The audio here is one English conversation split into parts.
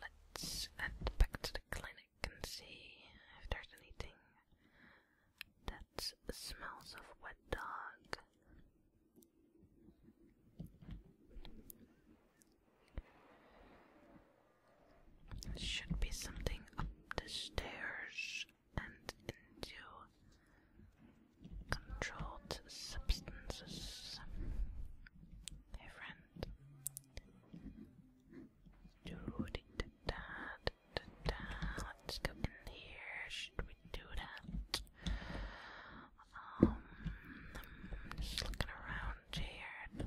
Let's head back to the clinic and see if there's anything that smells of wet dog. should be something up the stairs and into controlled substances. Hey friend. Let's go in here. Should we do that? Um, I'm just looking around here.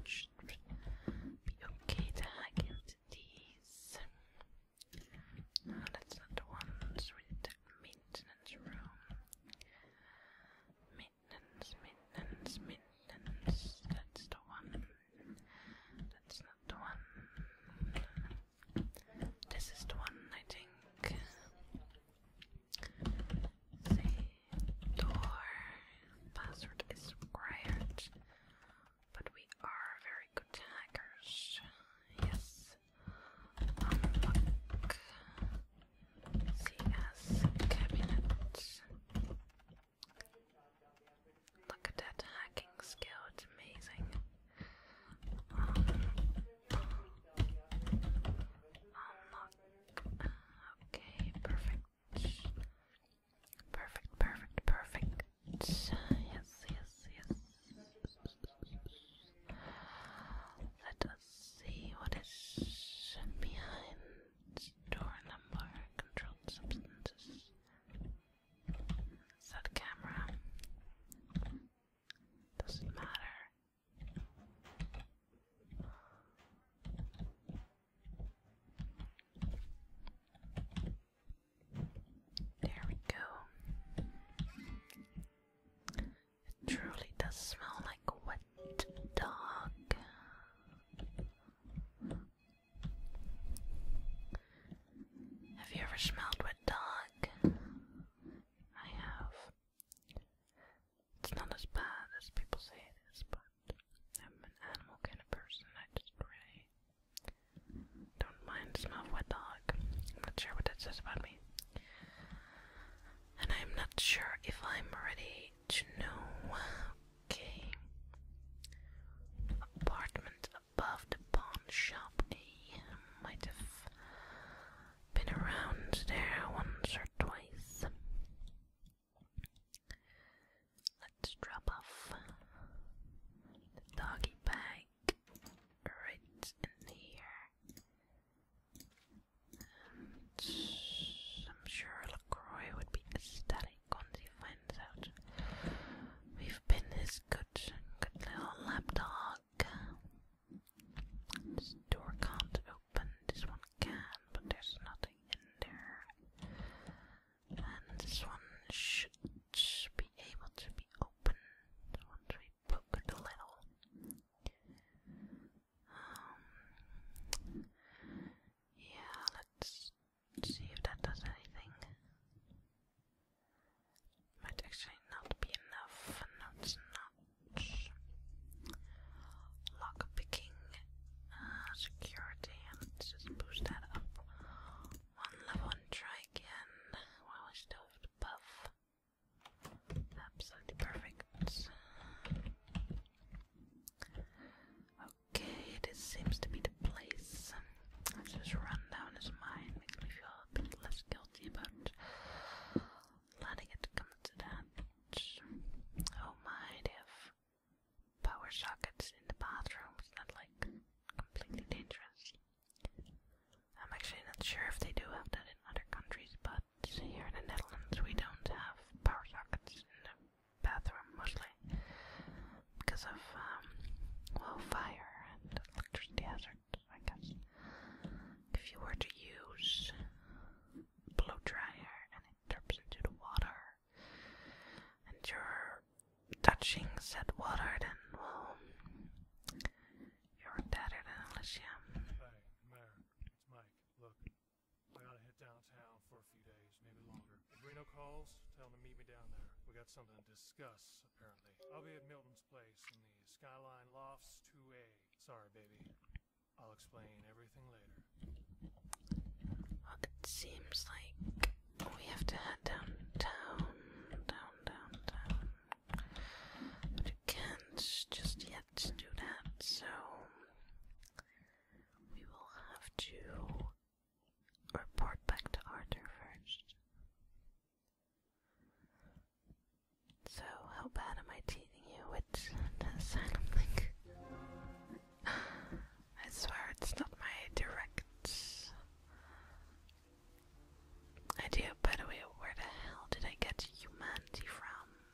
okay to hack these. No, that's not the one. It's really the maintenance room. That's the one. That's not the one. This is the one, I think. Say door. Password is required. But we are very good hackers. Yes. Unlock. See cabinet. Look at that hacking skill, it's amazing. unlock. Um, uh, okay, perfect. Perfect, perfect, perfect. Yes, yes, yes. Let see what is behind door number controlled substances. Is camera? Doesn't matter. There we go. It truly does smell like wet dog. Have you ever smelled wet dog? I have. It's not as bad as people say it is, but I'm an animal kind of person. I just really don't mind the smell of wet dog. not sure what that says about me. And I'm not sure if I'm ready to know. Okay. Apartment above the pawn shop. I might have been around there once or twice. Let's drop off the doggy bag right in here. I'm sure LaCroix would be ecstatic once he finds out. We've been his good, good little dog. This door can't open, this one can, but there's nothing in there. And this one should be able to be opened once we poke it little. Um, yeah, let's see if that does anything. Might actually not be enough. No, it's Lock picking, uh, security. Let's just boost that up. One level and try again while we still have the buff. Absolutely perfect. Okay, this seems to be the place. Let's just run down his mind. Makes me feel a bit less guilty about letting it come to that. Oh my, they power sockets in the bathroom. It's like completely dangerous. I'm actually not sure if they do have that in other countries, but toilets. Here in the Netherlands, we don't have power sockets in the bathroom mostly because of, um, well, fire and electricity hazard. I guess. If you were to use blow dryer and it drips into the water and you're touching said water, then, you're dead than you. Hey, I gotta head downtown for a few days, maybe longer. If Reno calls, tell him to meet me down there. We got something to discuss, apparently. I'll be at Milton's place in the Skyline Lofts 2A. Sorry, baby. I'll explain everything later. it seems like we have to head downtown, down, downtown. But you can't just yet do that, so we will have to report back to Arthur first. So, how bad am I teasing you with the asylum link? I swear it's not my direct idea. By the way, where the hell did I get humanity from?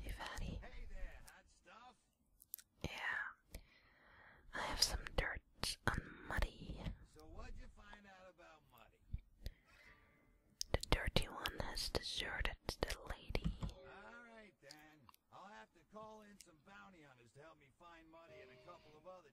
Hey, fatty. Yeah. I have some dirt on Muddy. So what'd you find out about Muddy? The dirty one has deserted the lady. Alright then. I'll have to call in some bounty hunters to help me find Muddy and a couple of other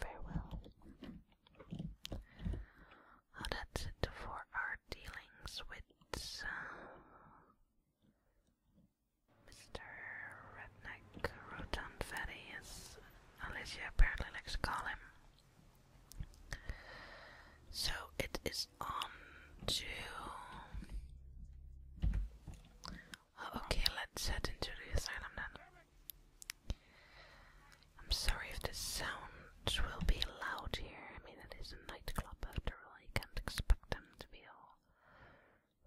farewell. that's it for our dealings with uh, Mr. Redneck Rotan Alicia apparently likes to call him. So it is on to. Oh, okay, let's head into the asylum then. I'm sorry if the sound will be loud here. I mean, it is a nightclub after all. I can't expect them to be all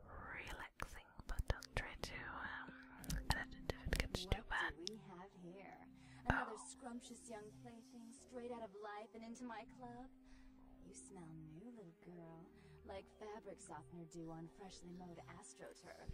relaxing, but don't try to um, if it gets too bad. Do we have here another oh. scrumptious young plaything straight out of life and into my club. You smell new, little girl, like fabric softener dew on freshly mowed astroturf.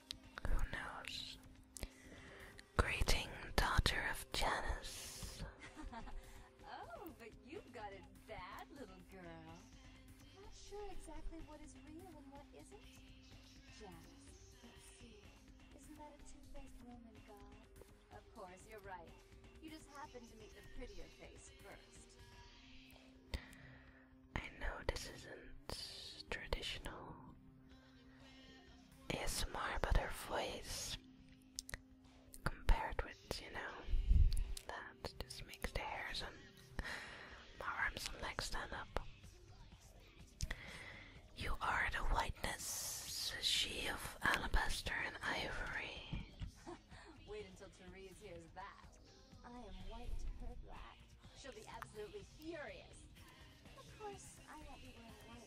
Who knows? Greeting, daughter of Janus. oh, but you've got it bad, little girl. Not sure exactly what is real and what isn't. Janus, Isn't that a two-faced Roman god? Of course, you're right. You just happened to meet the prettier face first. I know this isn't traditional, ASMR, but her voice compared with, you know, that just makes the hairs on my arms and legs stand up. You are the whiteness, she of alabaster and ivory. Wait until Therese hears that. I am white her black. She'll be absolutely furious. Of course, I won't be wearing white.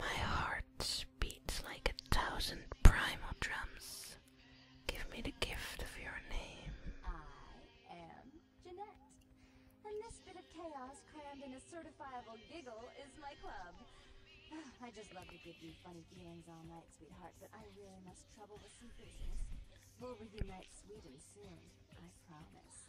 My heart beats like a thousand primal drums. Give me the gift of your name. I am Jeanette, and this bit of chaos crammed in a certifiable giggle is my club. I just love to give you funny feelings all night, sweetheart, but I really must trouble with secrecy. We'll reunite Sweden soon, I promise.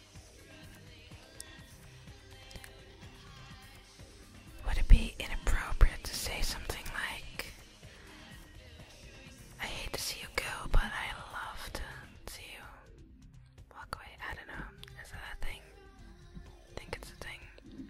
Would it be inappropriate to say something like, I hate to see you go, but I love to see you walk away? I don't know. Is that a thing? I think it's a thing.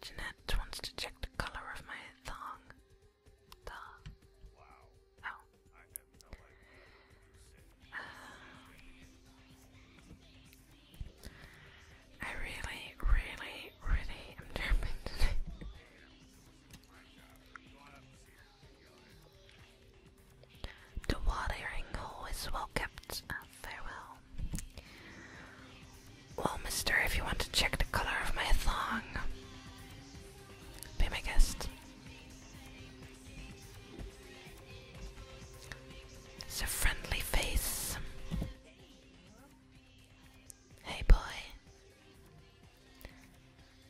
Jeanette wants to check the color of my thong. Thong. Wow. Oh. Um, I really, really, really am determined today. The watering hole is well kept. farewell. Well, mister, if you want to check the color of my thong, be my guest. It's a friendly face. Hey, boy.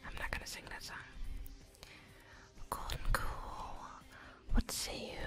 I'm not gonna sing that song. Golden cool. What say you?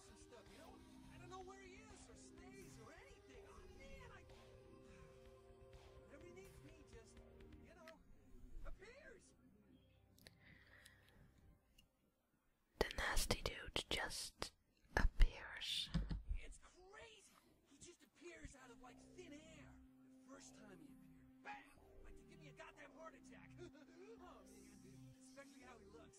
The nasty dude just appears. It's crazy. He just appears out of, like, thin air. first time he appeared, bam! Like to give me a goddamn heart attack. Oh, especially how he looks.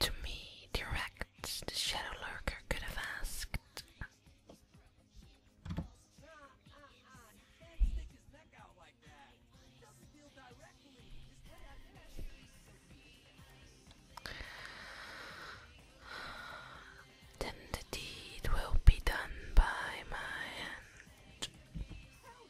To me, direct, the Shadow Lurker could have asked. Then the deed will be done by my hand.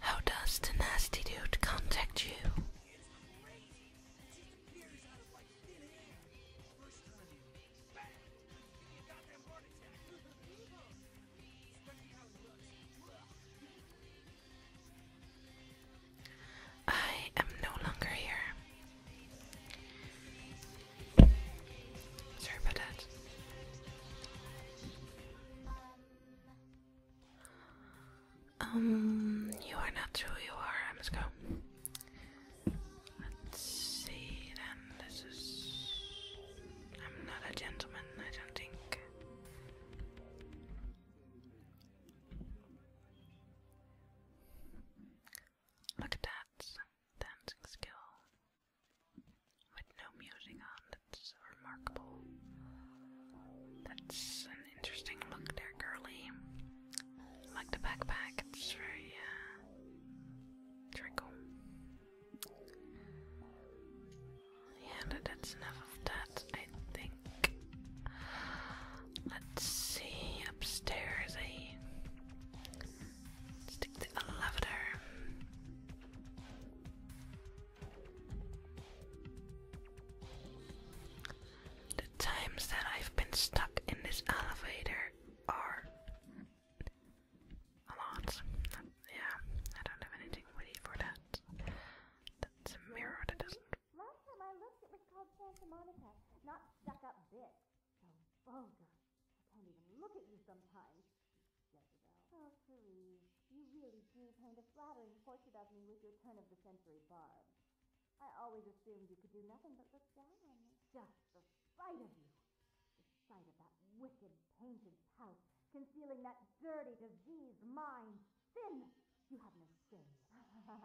How does the nasty dude contact you? It just appears out of thin air. I am no longer here. Sorry about that. Um, you are not who you are. I must go. Let's see. Then this is. I'm not a gentleman. I don't think. Look at that dancing skill with no music on. That's remarkable. That's an interesting look there, girly. like the backpack, it's very, uh, Yeah, that's enough of that, I think. Let's see, upstairs, eh? Stick the lavender. The times that I've been stuck in this elevator are a lot. Yeah, I don't have anything ready for that. That's a mirror that doesn't. Last time I looked, it was called Santa Monica, not stuck up bitch. Oh, vulgar. I can't even look at you sometimes. You really do paint a flattering portrait of me with your turn-of-the-century barb. I always assumed you could do nothing but look down on me. Just the sight of you. The sight of that wicked painted pout concealing that dirty, disease mind. Sin! You have no sin.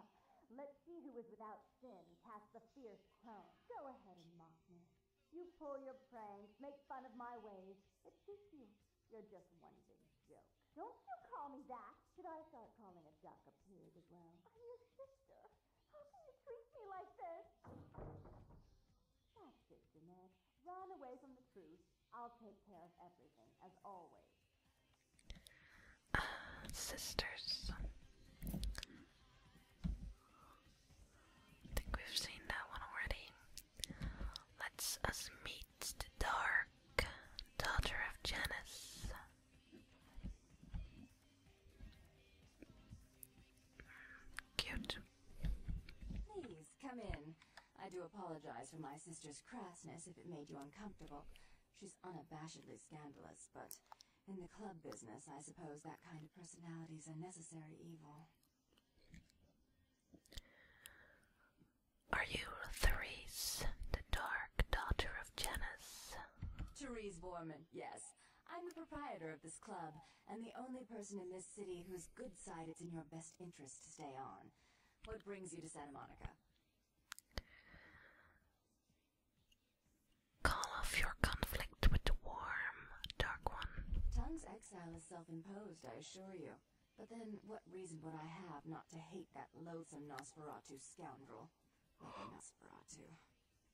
Let's see who is without sin cast the fierce crown. Go ahead and mock me. You pull your pranks, make fun of my ways. It's suits you. You're just one big joke. Don't you call me that. Should I start calling a duck a pig as well? I'm your sister. How can you treat me like this? That's it, Jeanette. Run away from the truth. I'll take care of everything, as always. sisters. I think we've seen that one already. Let's us meet it's the dark daughter of Janus. Cute. Please come in. I do apologize for my sister's crassness if it made you uncomfortable. She's unabashedly scandalous, but in the club business, I suppose that kind of personality is a necessary evil. Are you Therese, the dark daughter of Janus? Therese Borman, yes. I'm the proprietor of this club, and the only person in this city whose good side it's in your best interest to stay on. What brings you to Santa Monica? Call off your conflict with the warm, dark one. Tongue's exile is self-imposed, I assure you. But then, what reason would I have not to hate that loathsome Nosferatu scoundrel? Like Nosferatu.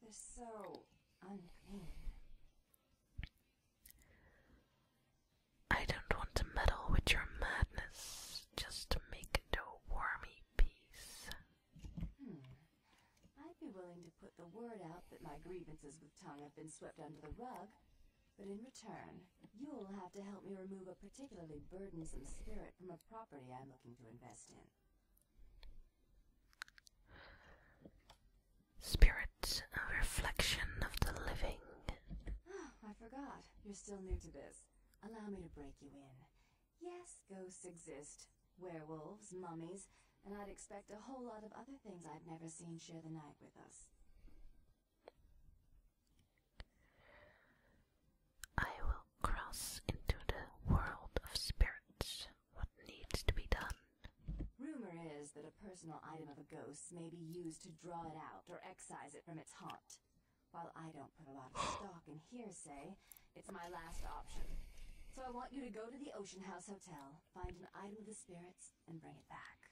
They're so unclean. I don't want to meddle with your madness, just to make it a wormy piece. Hmm. I'd be willing to put the word out that my grievances with Tongue have been swept under the rug, but in return, you will have to help me remove a particularly burdensome spirit from a property I'm looking to invest in. Spirits, a reflection of the living. I forgot. You're still new to this. Allow me to break you in. Yes, ghosts exist. Werewolves, mummies, and I'd expect a whole lot of other things I've never seen share the night with us. I will cross into the world of spirits. What needs to be done? Rumor is that a personal item of a ghost may be used to draw it out or excise it from its haunt. While I don't put a lot of stock in hearsay, it's my last option. So I want you to go to the Ocean House Hotel, find an item of the spirits, and bring it back.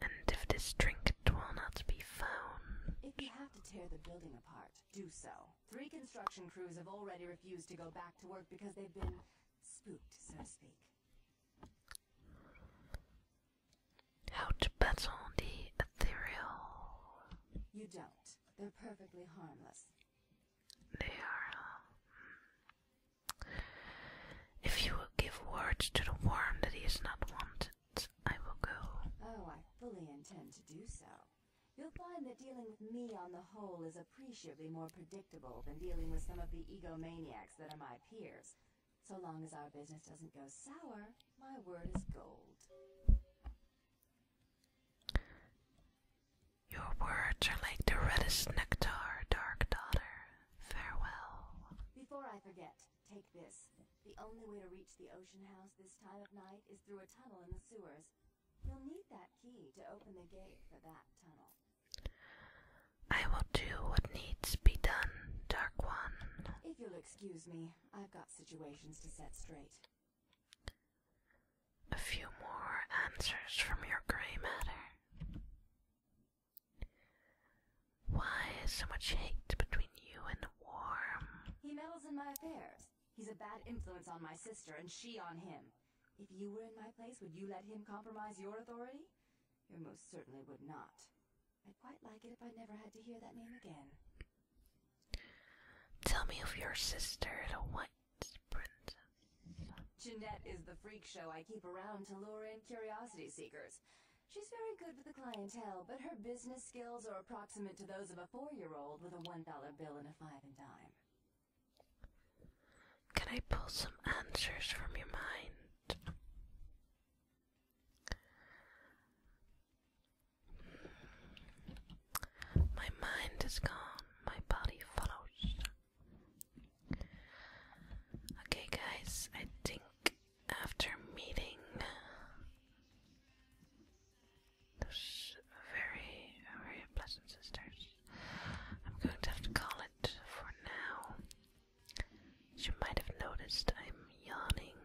And if this trinket will not be found. If you have to tear the building apart, do so. Three construction crews have already refused to go back to work because they've been spooked, so to speak. How to battle the ethereal. You don't. They're perfectly harmless. They are. Uh, hmm. If you will give words to the worm that he is not wanted, I will go. Oh, I fully intend to do so. You'll find that dealing with me on the whole is appreciably more predictable than dealing with some of the egomaniacs that are my peers. So long as our business doesn't go sour, my word is gold. Your words are like the reddest nectar, dark daughter farewell. Before I forget, take this. The only way to reach the ocean house this time of night is through a tunnel in the sewers. You'll need that key to open the gate for that tunnel. I will do what needs be done, Dark One. If you'll excuse me, I've got situations to set straight. A few more answers from your gray matter. Why is so much hate between you and the worm? He meddles in my affairs. He's a bad influence on my sister and she on him. If you were in my place, would you let him compromise your authority? You most certainly would not. I'd quite like it if I never had to hear that name again. Tell me of your sister, the White Princess. Jeanette is the freak show I keep around to lure in curiosity seekers. She's very good with the clientele, but her business skills are approximate to those of a four-year-old with a one-dollar bill and a five and dime. Can I pull some answers from your mind? My mind is gone, my body follows. Okay, guys, I think after meeting those very, very pleasant sisters, I'm going to have to call it for now. you might have noticed, I'm yawning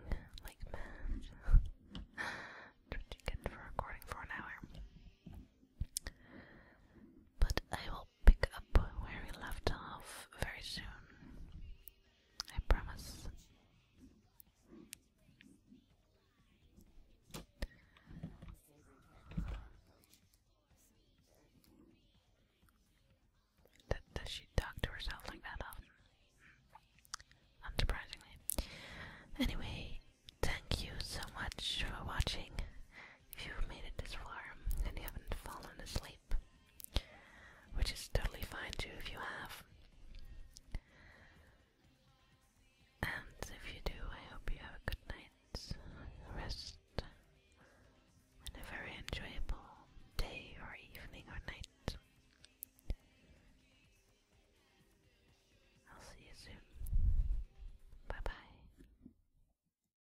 like mad. That's what for recording for an hour. But I will pick up where we left off very soon. I promise. does she talk to herself like that often? Unsurprisingly. Anyway, thank you so much for watching if you've made it this far and you haven't fallen asleep, which is totally fine too if you have. And if you do, I hope you have a good night's rest and a very enjoyable day or evening or night. I'll see you soon. Bye bye.